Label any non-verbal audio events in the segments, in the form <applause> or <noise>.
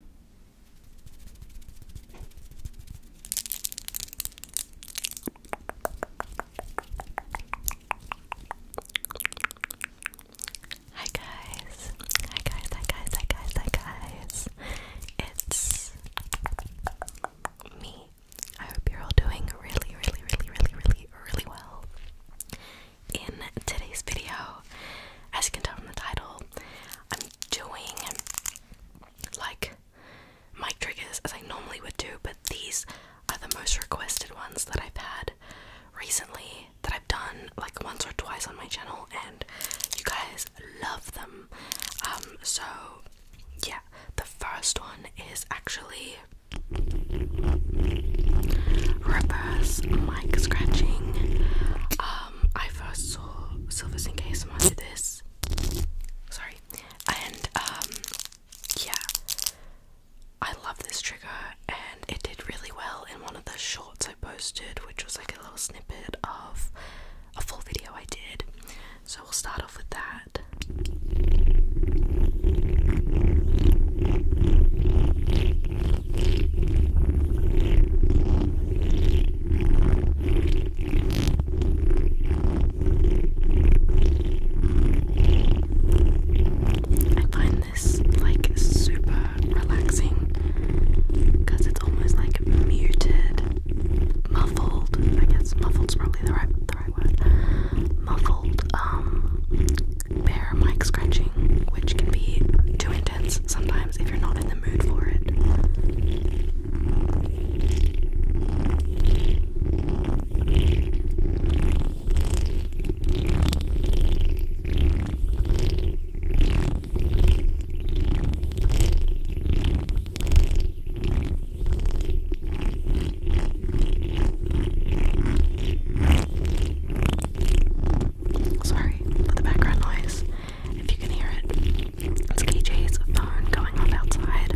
Hi guys. Hi guys, hi guys, hi guys, hi guys. It's me. I hope you're all doing really, really, really, really, really, really well. In today's video, as you can tell from the title, I'm doing like mic triggers as I normally would do, but these are the most requested ones that I've had recently that I've done like once or twice on my channel, and you guys love them. Um, so yeah, the first one is actually reverse mic scratching. Um, um, I first saw Silver Sink ASMR do this. Sorry. And, um, yeah. I love this trigger, and it did really well in one of the shorts I posted, which was like a little snippet of a full video I did. So we'll start off with that. I find this like super relaxing because it's almost like muted, muffled. I guess muffled is probably the right the right word. Muffled um mic scratching, which can be too sometimes if you're not in the mood for it. Sorry for the background noise if you can hear it. It's KJ's phone going off outside.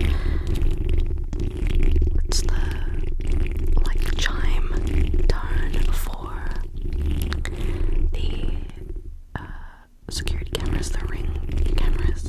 It's the like chime tone for the uh, security cameras, the ring cameras.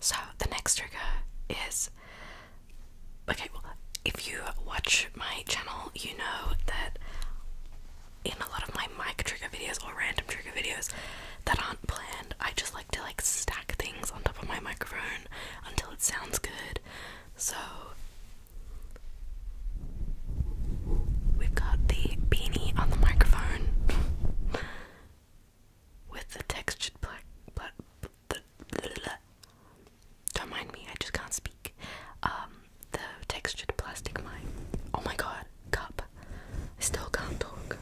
so the next trigger is okay. Well, if you watch my channel, you know that in a lot of my mic trigger videos or random trigger videos that aren't planned, I just like to like stack things on top of my microphone until it sounds good. So we've got the beanie on the microphone. <laughs> with the textured black, don't mind me, I just can't speak. Um, the textured plastic mine. Oh my god, cup. I still can't talk.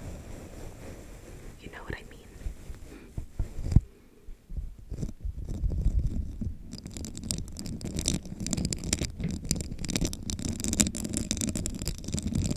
You know what I mean.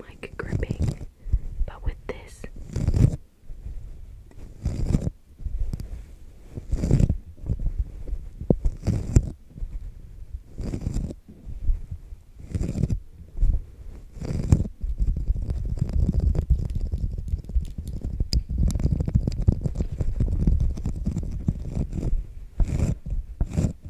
like gripping, but with this.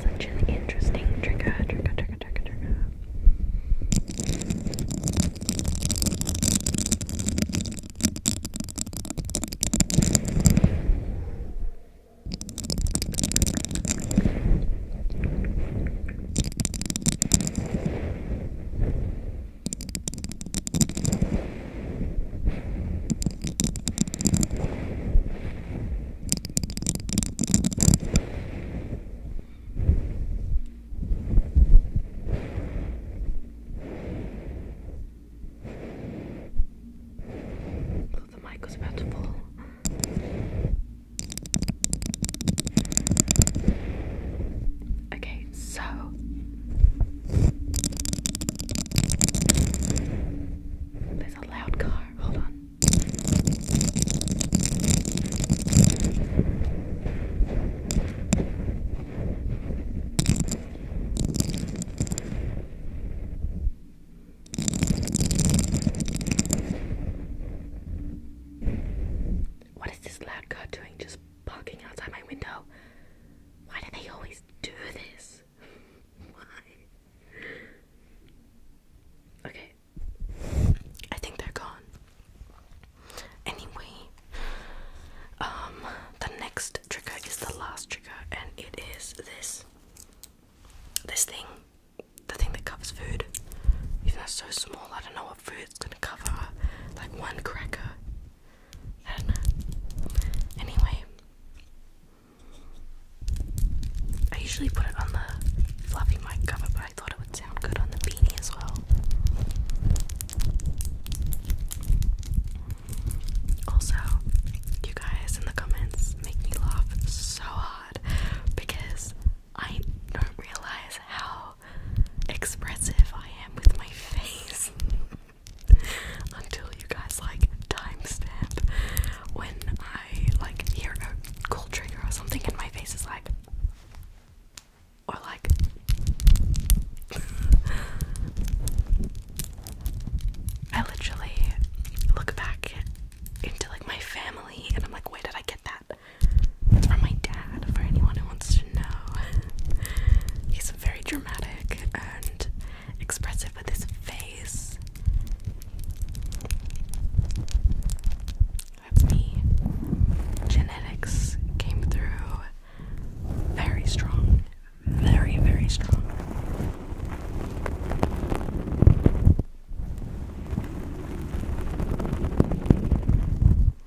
Such an interesting trigger, trigger, trigger, trigger, trigger. So oh, the mic was about to fall. Okay, so there's a loud car. Hold on. What is this loud car doing just parking outside my window? Why do they always do this? Why? Okay. I think they're gone. Anyway, um, the next trigger is the last trigger, and it is this. This thing. The thing that covers food. Even though so small, I don't know what food's gonna cover. Like one cracker I Anyway, I usually put it on the floppy mic cover, but I thought it would sound good on the beanie as well. Also, you guys in the comments make me laugh so hard because I don't realize how expressive I am with my face <laughs> until you guys like timestamp when I like hear a cool trigger or something and my face is like or like <laughs> I literally look back into like my family and I'm like where did I get that? It's from my dad for anyone who wants to to <laughs> He's very dramatic and expressive with his face. That's me. Genetics came through very strong. Very, very strong.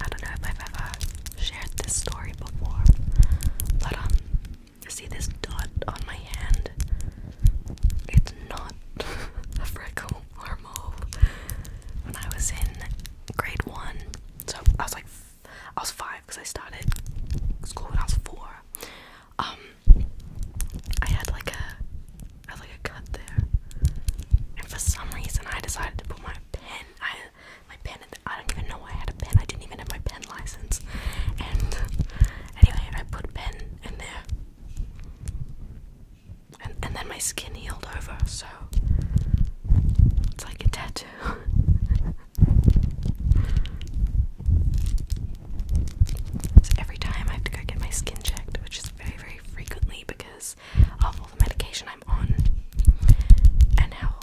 I don't know if I've ever shared this story before, but um, see this dot on my hand? It's not <laughs> a freckle or mole. When I was in grade one, so I was like I was five because I started school when I was four. Um, I had like a, I had like a cut there, and for some reason I decided to put my pen. I my pen. The, I don't even know I had a pen. I didn't even have my pen license. And anyway, I put pen in there, and and then my skin healed over. So it's like a tattoo. <laughs> So every time I have to go get my skin checked, which is very, very frequently because of all the medication I'm on and how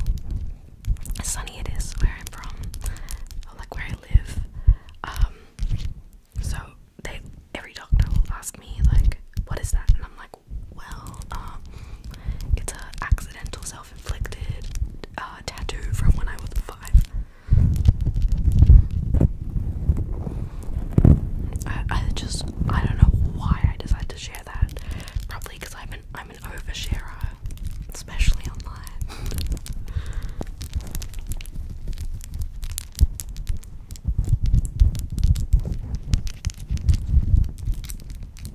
sunny it is where I'm from, like where I live. Um, so they, every doctor will ask me like, "What is that?" and I'm like, "Well, um, it's an accidental cell self-inflicted uh, tattoo from when I was five. I just I don't know why I decided to share that. Probably because I'm an I'm an oversharer, especially online.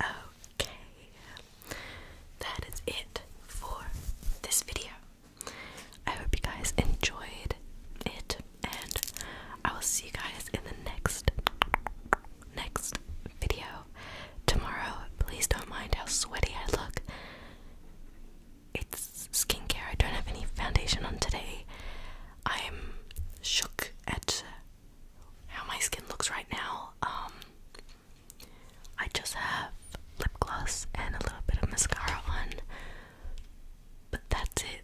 Okay, that is it for this video. I hope you guys enjoyed it, and I will see you guys in the next next video tomorrow. Please don't mind how sweaty I look. It's skincare. I don't have any foundation on today. I'm shook at how my skin looks right now. Um, I just have lip gloss and a little bit of mascara on, but that's it.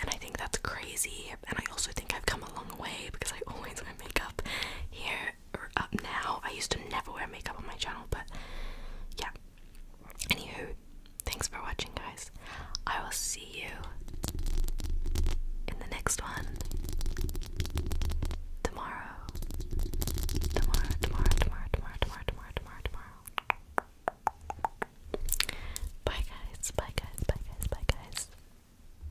And I think that's crazy. And I also think I've come a long way because I always wear makeup here up now. I used to never wear makeup on my channel, but yeah. Anywho, thanks for watching, guys. I will see you in the next one tomorrow. Tomorrow, tomorrow, tomorrow, tomorrow, tomorrow, tomorrow, tomorrow, tomorrow. Bye, guys. Bye, guys. Bye, guys. Bye, guys.